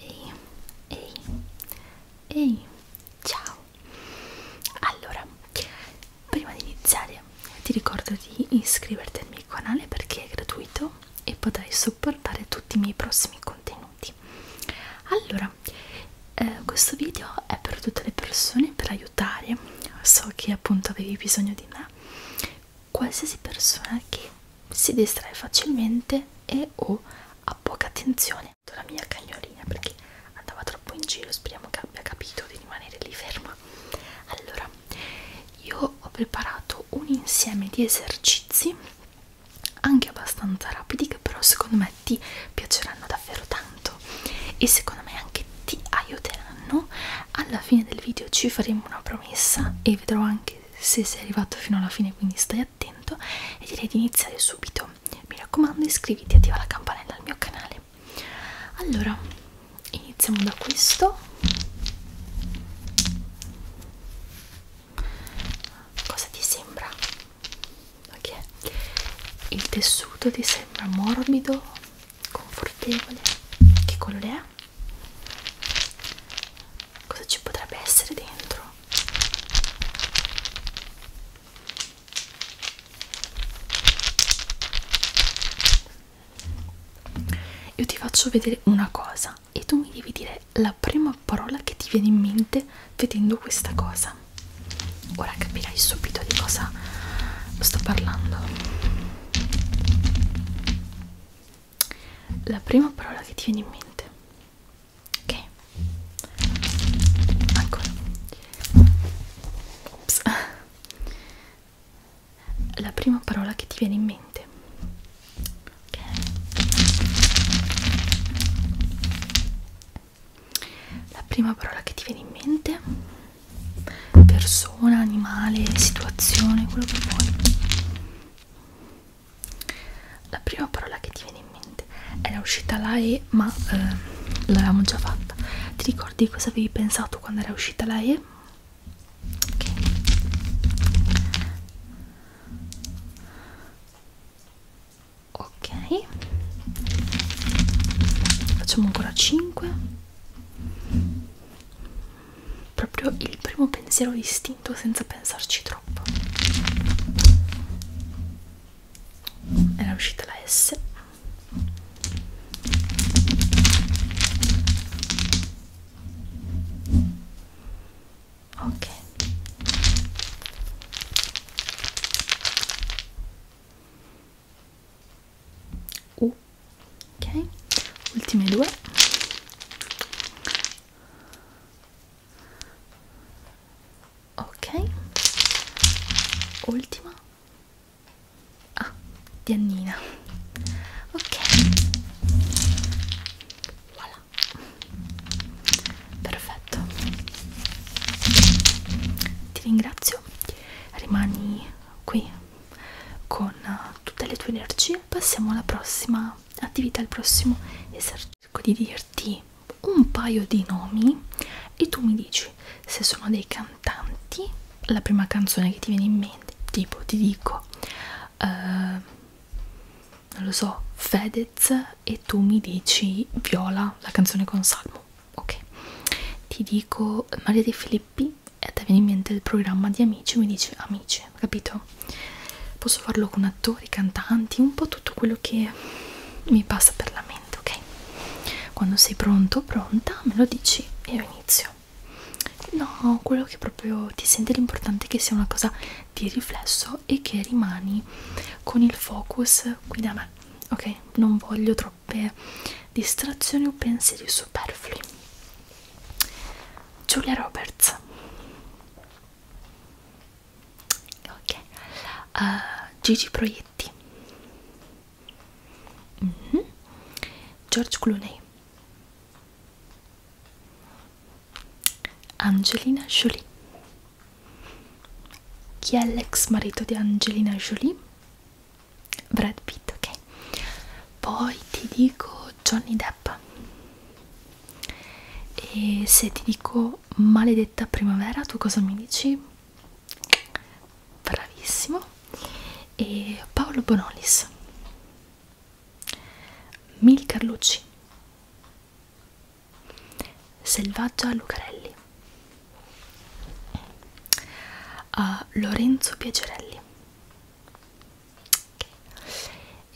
Ehi, ehi, ehi, ciao! Allora, prima di iniziare ti ricordo di iscriverti al mio canale perché è gratuito e potrai supportare tutti i miei prossimi contenuti. Allora, eh, questo video è per tutte le persone per aiutare, so che appunto avevi bisogno di me, qualsiasi persona che si distrae facilmente e o oh, ha poca attenzione. La mia cagnolina perché andava troppo in giro, speriamo che abbia capito di rimanere lì ferma. Allora, io ho preparato un insieme di esercizi anche abbastanza rapidi che però secondo me ti piaceranno davvero tanto e secondo me anche ti aiuteranno alla fine del video ci faremo una promessa e vedrò anche se sei arrivato fino alla fine quindi stai attento e direi di iniziare subito mi raccomando iscriviti e attiva la campanella al mio canale allora iniziamo da questo cosa ti sembra? ok il tessuto ti sembra morbido confortevole che colore è? cosa ci potrebbe essere dentro io ti faccio vedere una cosa e tu mi devi dire la prima parola che ti viene in mente vedendo questa cosa ora capirai subito di cosa sto parlando la prima parola che ti viene in mente ok ancora Ops. la prima parola che ti viene in mente ok la prima parola che ti viene in mente persona, animale, situazione, quello che vuoi la prima parola che ti viene in mente era uscita la E ma eh, l'avevamo già fatta ti ricordi cosa avevi pensato quando era uscita la E? ok ok facciamo ancora 5 proprio il primo pensiero istinto senza pensarci troppo era uscita la S ok U ok ultime due ok ultima ah di Annina ok voilà perfetto ti ringrazio rimani qui con tutte le tue energie passiamo alla prossima attività al prossimo esercizio cerco di dirti un paio di nomi e tu mi dici se sono dei cantanti la prima canzone che ti viene in mente tipo ti dico uh, non lo so Fedez e tu mi dici Viola la canzone con Salmo ok ti dico Maria De Filippi e ti viene in mente il programma di Amici mi dici Amici piace, capito? Posso farlo con attori, cantanti, un po' tutto quello che mi passa per la mente, ok? Quando sei pronto, pronta, me lo dici e io inizio. No, quello che proprio ti sente l'importante è che sia una cosa di riflesso e che rimani con il focus qui da me, ok? Non voglio troppe distrazioni o pensieri superflui. Giulia Roberts ok uh, Gigi Proietti mm -hmm. George Clooney Angelina Jolie chi è l'ex marito di Angelina Jolie? Brad Pitt, ok poi ti dico Johnny Depp e se ti dico maledetta primavera, tu cosa mi dici? Bravissimo. E Paolo Bonolis. Mil Carlucci. Selvaggia Lucarelli. Uh, Lorenzo Piacerelli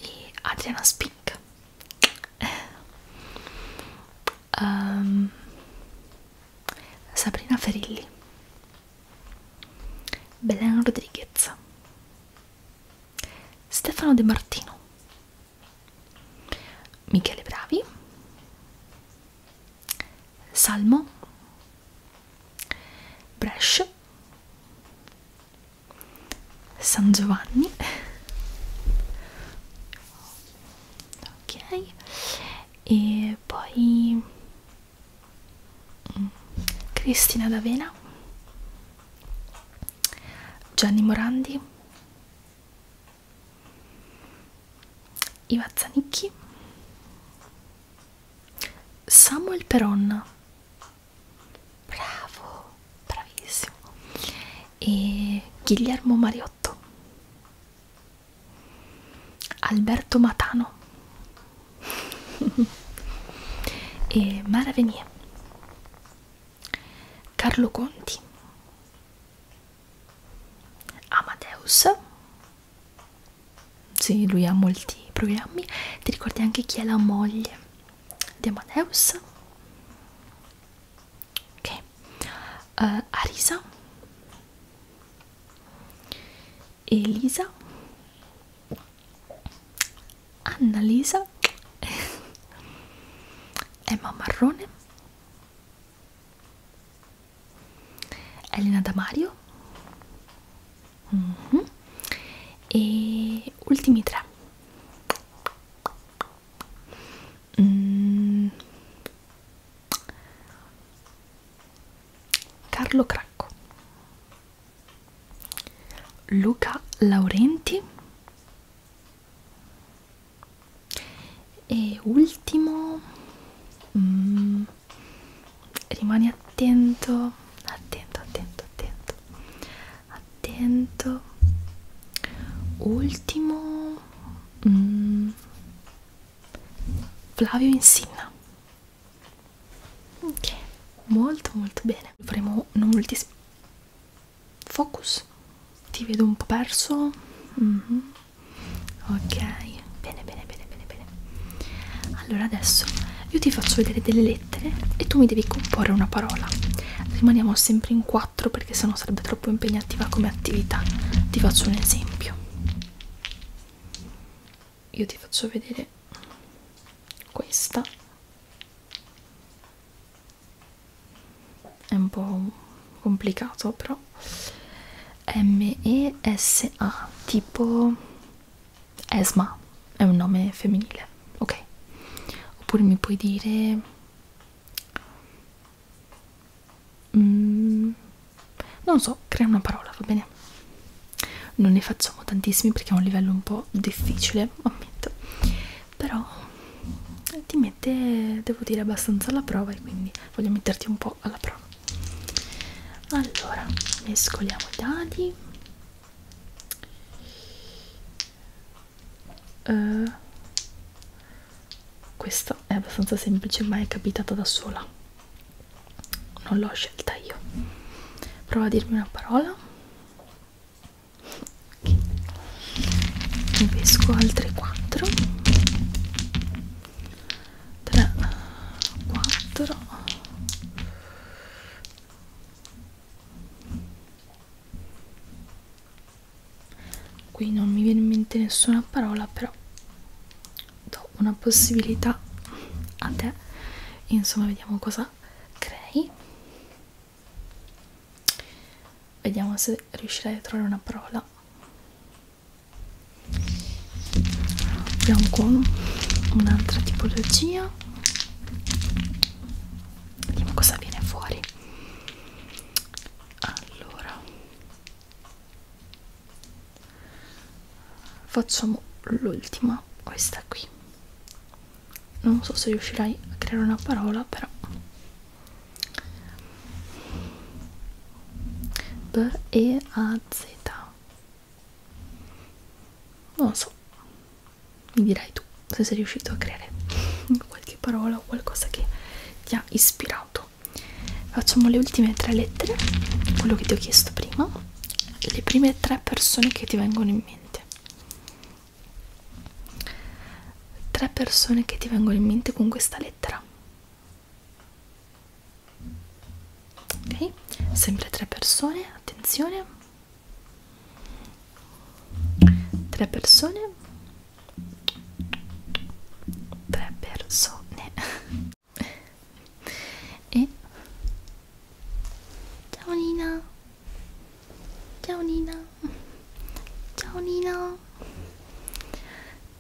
e Adriana Spink um, Sabrina Ferilli Belen Rodriguez Stefano De Martino Michele Bravi Salmo Brescia San Giovanni ok e poi mm, Cristina D'Avena Gianni Morandi Iva Zanicchi Samuel Peronna bravo bravissimo e Guillermo Mariotto Alberto Matano e Mara Venier Carlo Conti Amadeus sì, lui ha molti programmi. Ti ricordi anche chi è la moglie di Amadeus ok uh, Arisa Elisa Annalisa Emma Marrone Elena Damario Mm -hmm. E ultimi tre. Mm. Carlo Cracco. Luca Laurenti. E ultimo, mm, rimani attento, attento, attento, attento attento ultimo mm, Flavio Insinna ok molto molto bene faremo non molti focus ti vedo un po' perso mm -hmm. ok bene bene bene bene bene allora adesso io ti faccio vedere delle lettere lettere e tu mi devi comporre una parola. Rimaniamo sempre in quattro perché sennò sarebbe troppo impegnativa come attività. Ti faccio un esempio. Io ti faccio vedere questa. È un po' complicato però. M E S A tipo Esma è un nome femminile, ok? Oppure mi puoi dire mm, non so, crea una parola, va bene? Non ne facciamo tantissimi perché è un livello un po' difficile, ammetto. Però eh, ti mette, devo dire, abbastanza alla prova e quindi voglio metterti un po' alla prova. Allora, mescoliamo i dadi. Uh, questa è abbastanza semplice ma è capitata da sola non l'ho scelta io prova a dirmi una parola okay. ne pesco altre 4 3 4 qui non mi viene in mente nessuna parola però do una possibilità a te insomma vediamo cosa crei vediamo se riuscirai a trovare una parola abbiamo qua un'altra tipologia vediamo cosa viene fuori allora facciamo l'ultima questa qui non so se riuscirai a creare una parola però B E A Z non lo so mi dirai tu se sei riuscito a creare qualche parola o qualcosa che ti ha ispirato facciamo le ultime tre lettere quello che ti ho chiesto prima le prime tre persone che ti vengono in mente tre persone che ti vengono in mente con questa lettera ok sempre tre persone attenzione tre persone tre persone e ciao Nina ciao Nina ciao Nina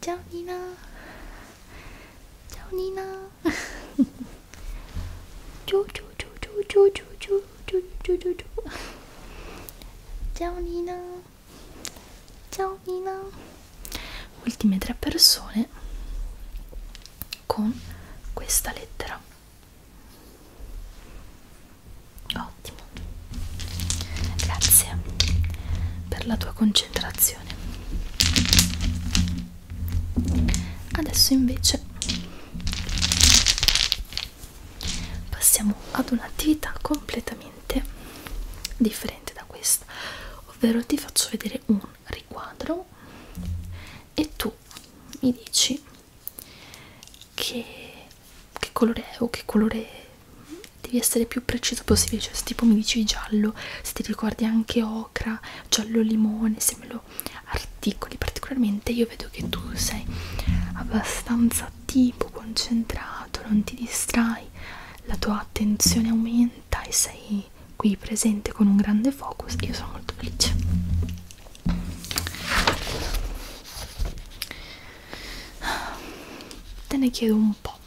ciao Nina ciao Nina Giù, giù, giù, giù, giù, giù, giù, giù, giù, giù, giù. Ciao Nina. Ciao Nina. Ultime tre persone con questa lettera. Ottimo. Grazie per la tua concentrazione adesso invece passiamo ad un'attività completamente differente da questa ovvero ti faccio vedere un riquadro e tu mi dici che, che colore è o che colore devi essere più preciso possibile cioè se tipo mi dici giallo se ti ricordi anche ocra giallo limone se me lo proprio articoli particolarmente io vedo che tu sei abbastanza attivo concentrato non ti distrai la tua attenzione aumenta e sei qui presente con un grande focus io sono molto felice te ne chiedo un po'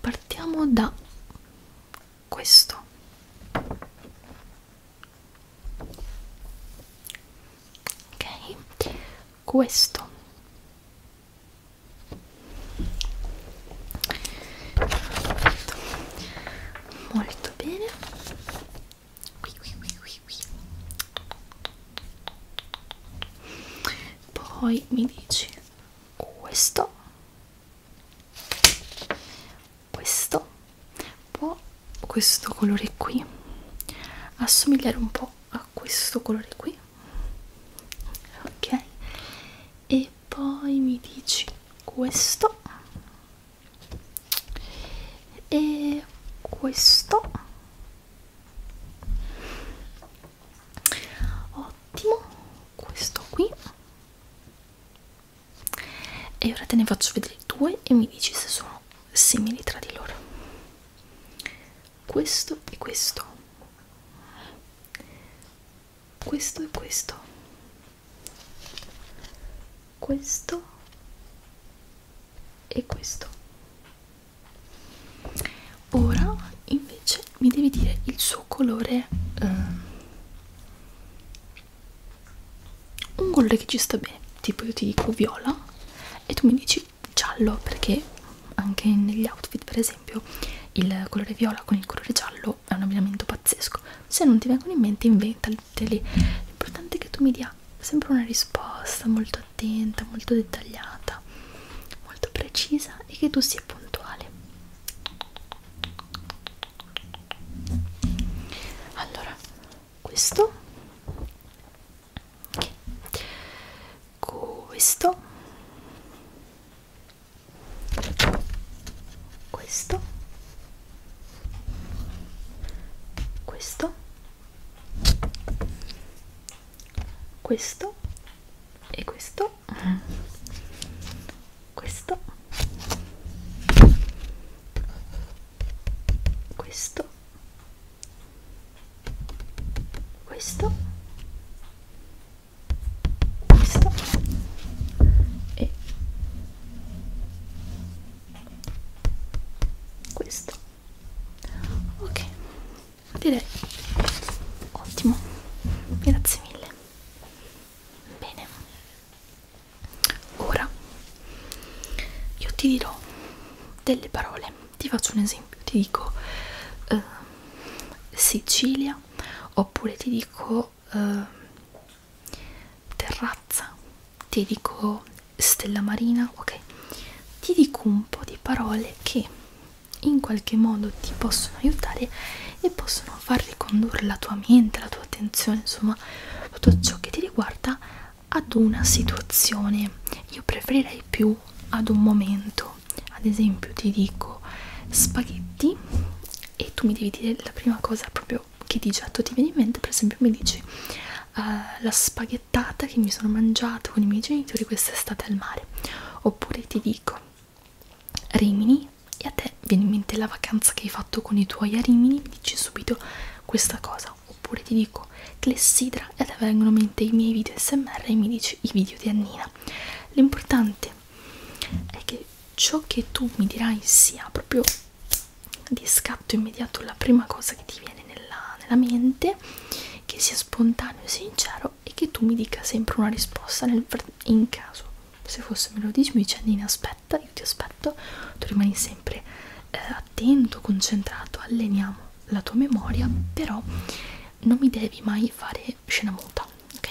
partiamo da questo ok questo Perfetto. molto bene qui qui qui qui qui poi mi dici questo questo può questo colore qui assomigliare un po' a questo colore qui ok e poi mi dici questo e questo ottimo questo qui e ora te ne faccio vedere due e mi dici se sono simili tra di loro questo e questo questo e questo questo e questo ora invece mi devi dire il suo colore eh, un colore che ci sta bene tipo io ti dico viola e tu mi dici giallo perché anche negli outfit per esempio il colore viola con il colore giallo è un abbinamento pazzesco se non ti vengono in mente inventali l'importante è che tu mi dia sempre una risposta molto attenta molto dettagliata molto precisa e che tu sia puntuale allora questo questo questo questo questo e questo questo questo questo questo e questo ok direi ottimo grazie mille bene Ora io ti dirò delle parole, ti faccio un esempio, ti dico eh, Sicilia oppure ti dico eh, terrazza, ti dico stella marina, ok? Ti dico un po' di parole che in qualche modo ti possono aiutare e possono far ricondurre la tua mente, la tua attenzione, insomma, insomma tutto ciò che ti riguarda ad una situazione io preferirei più ad un momento ad esempio ti dico spaghetti e tu mi devi dire la prima cosa proprio che di getto ti viene in mente per esempio mi dici uh, la spaghettata che mi sono mangiato con i miei genitori quest'estate al mare oppure ti dico Rimini e a te viene in mente la vacanza che hai fatto con i tuoi a Rimini, mi dici subito questa cosa. Oppure ti dico clessidra e a te vengono in mente i miei video smr e mi dici i video di Annina. L'importante è che ciò che tu mi dirai sia proprio di scatto immediato la prima cosa che ti viene nella, nella mente, che sia spontaneo e sincero e che tu mi dica sempre una risposta nel, in caso. Se fosse me lo dici mi dice Annina aspetta aspetta, io ti aspetto, tu rimani sempre eh, attento, concentrato, alleniamo la tua memoria, però non mi devi mai fare scena muta, ok?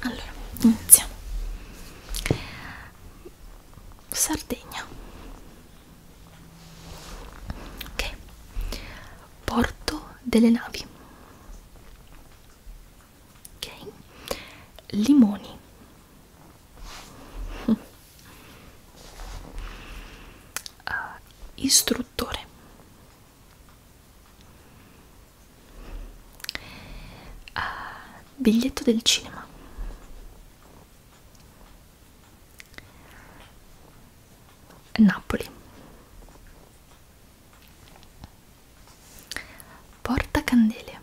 Allora, iniziamo. Sardegna. Ok. Porto delle navi ok limoni uh, istruttore uh, biglietto del cinema Napoli portacandele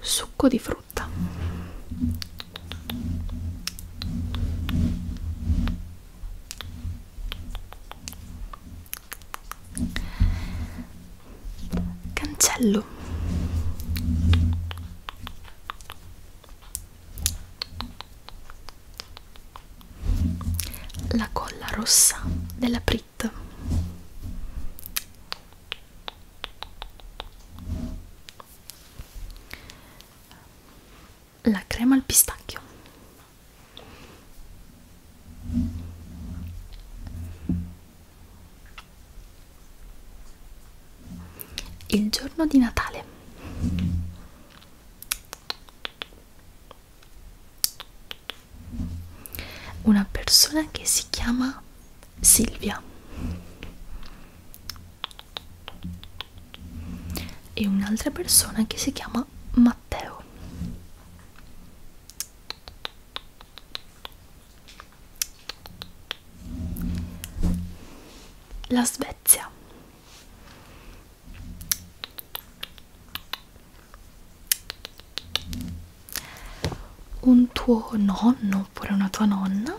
succo di frutta cancello la colla rossa della Prit la crema al pistacchio il giorno di Natale una persona che si chiama Silvia e un'altra persona che si chiama Matteo la Svezia un tuo nonno oppure una tua nonna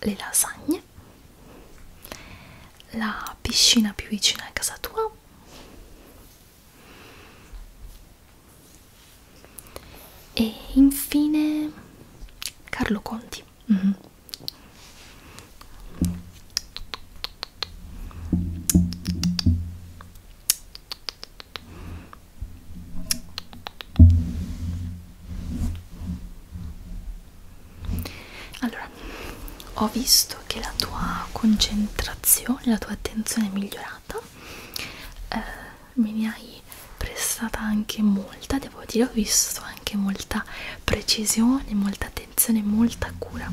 le lasagne la piscina più vicina a casa tua e infine Carlo Conti Mm -hmm. Allora, ho visto che la tua concentrazione, la tua attenzione è migliorata. Eh, me ne hai prestata anche molta devo dire ho visto anche molta precisione molta attenzione molta cura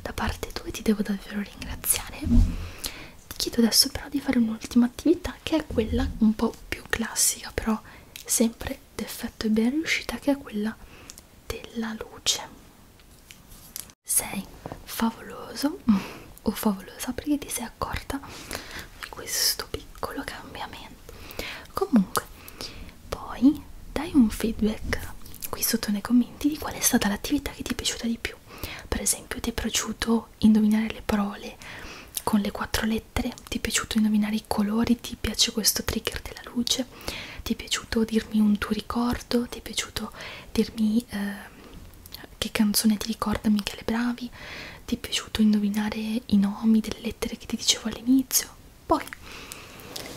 da parte tua e ti devo davvero ringraziare ti chiedo adesso però di fare un'ultima attività che è quella un po' più classica però sempre d'effetto e ben riuscita che è quella della luce sei favoloso o favolosa perché ti sei accorta di questo piccolo cambiamento comunque poi dai un feedback qui sotto nei commenti di qual è stata l'attività che ti è piaciuta di più per esempio ti è piaciuto indovinare le parole con le quattro lettere ti è piaciuto indovinare i colori ti piace questo trigger della luce ti è piaciuto dirmi un tuo ricordo ti è piaciuto dirmi eh, che canzone ti ricorda Michele Bravi ti è piaciuto indovinare i nomi delle lettere che ti dicevo all'inizio? Poi,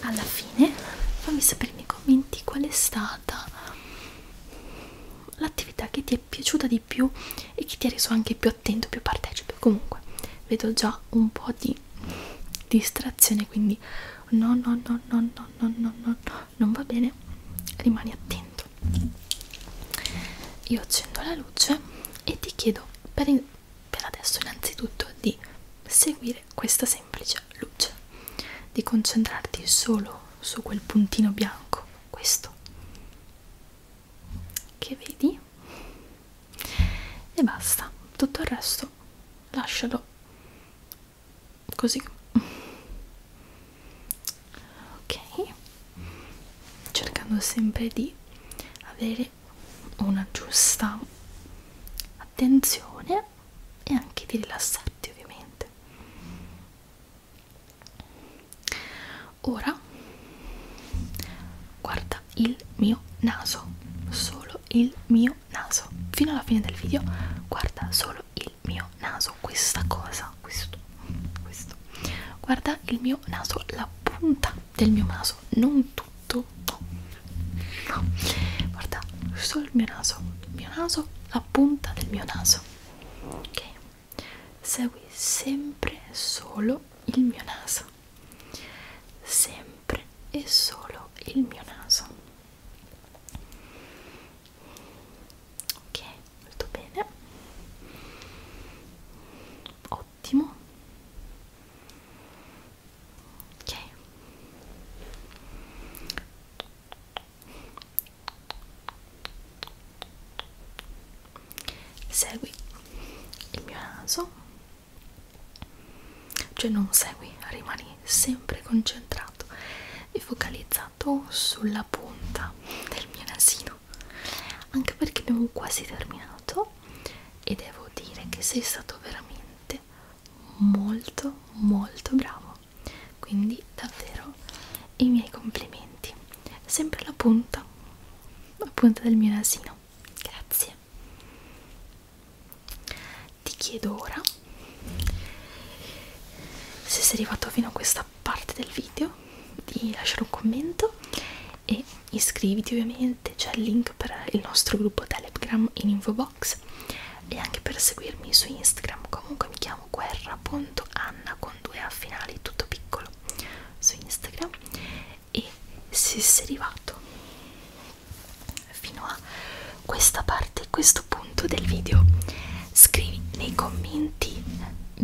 alla fine, fammi sapere nei commenti qual è stata l'attività che ti è piaciuta di più e che ti ha reso anche più attento, più partecipe. Comunque, vedo già un po' di distrazione, quindi no, no, no, no, no, no, no, no, no non va bene, rimani attento io accendo la luce e ti chiedo per, in, per adesso innanzitutto di seguire questa semplice luce di concentrarti solo su quel puntino bianco questo che vedi e basta tutto il resto lascialo così ok cercando sempre di avere una giusta attenzione e anche di rilassarti ovviamente ora guarda il mio naso solo il mio naso fino alla fine del video guarda solo il mio naso questa cosa questo questo guarda il mio naso la punta del mio naso non tutto no, no. guarda solo il mio naso il mio naso la punta del mio naso ok segui sempre solo il mio naso sempre e solo il mio naso ok molto bene ho ottimo ok segui il mio naso cioè non segui rimani sempre concentrato e focalizzato sulla punta del mio nasino più anche perché abbiamo quasi terminato e devo dire che sei stato veramente molto molto bravo quindi davvero i miei complimenti sempre la punta la punta del mio nasino grazie ti chiedo ora se sei arrivato fino a questa parte del video di lasciare un commento e iscriviti ovviamente, c'è il link per il nostro gruppo Telegram in info box e anche per seguirmi su Instagram, comunque mi chiamo guerra.anna con due a finali, tutto piccolo su Instagram e se sei arrivato fino a questa parte, questo punto del video scrivi nei commenti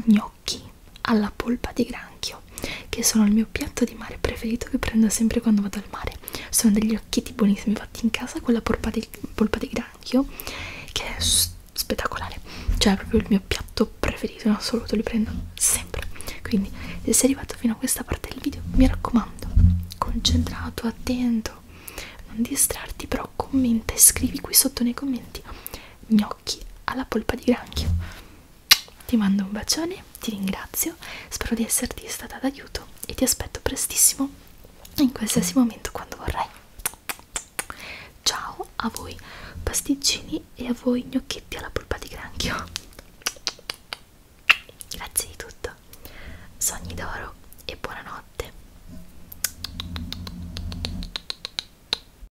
gnocchi gnocchi alla polpa di granchio che sono il mio piatto di mare preferito che prendo sempre quando vado al mare sono degli occhietti buonissimi fatti in casa con la polpa di, polpa di granchio che è spettacolare cioè è proprio il mio piatto preferito in assoluto li prendo sempre quindi se sei arrivato fino a questa parte del video mi raccomando concentrato attento non distrarti però commenta e scrivi qui sotto nei commenti gnocchi alla polpa di granchio ti mando un bacione, ti ringrazio, spero di esserti stata d'aiuto e ti aspetto prestissimo in qualsiasi momento quando vorrai. Ciao a voi pasticcini e a voi gnocchetti alla polpa di granchio. Grazie di tutto, sogni d'oro e buonanotte.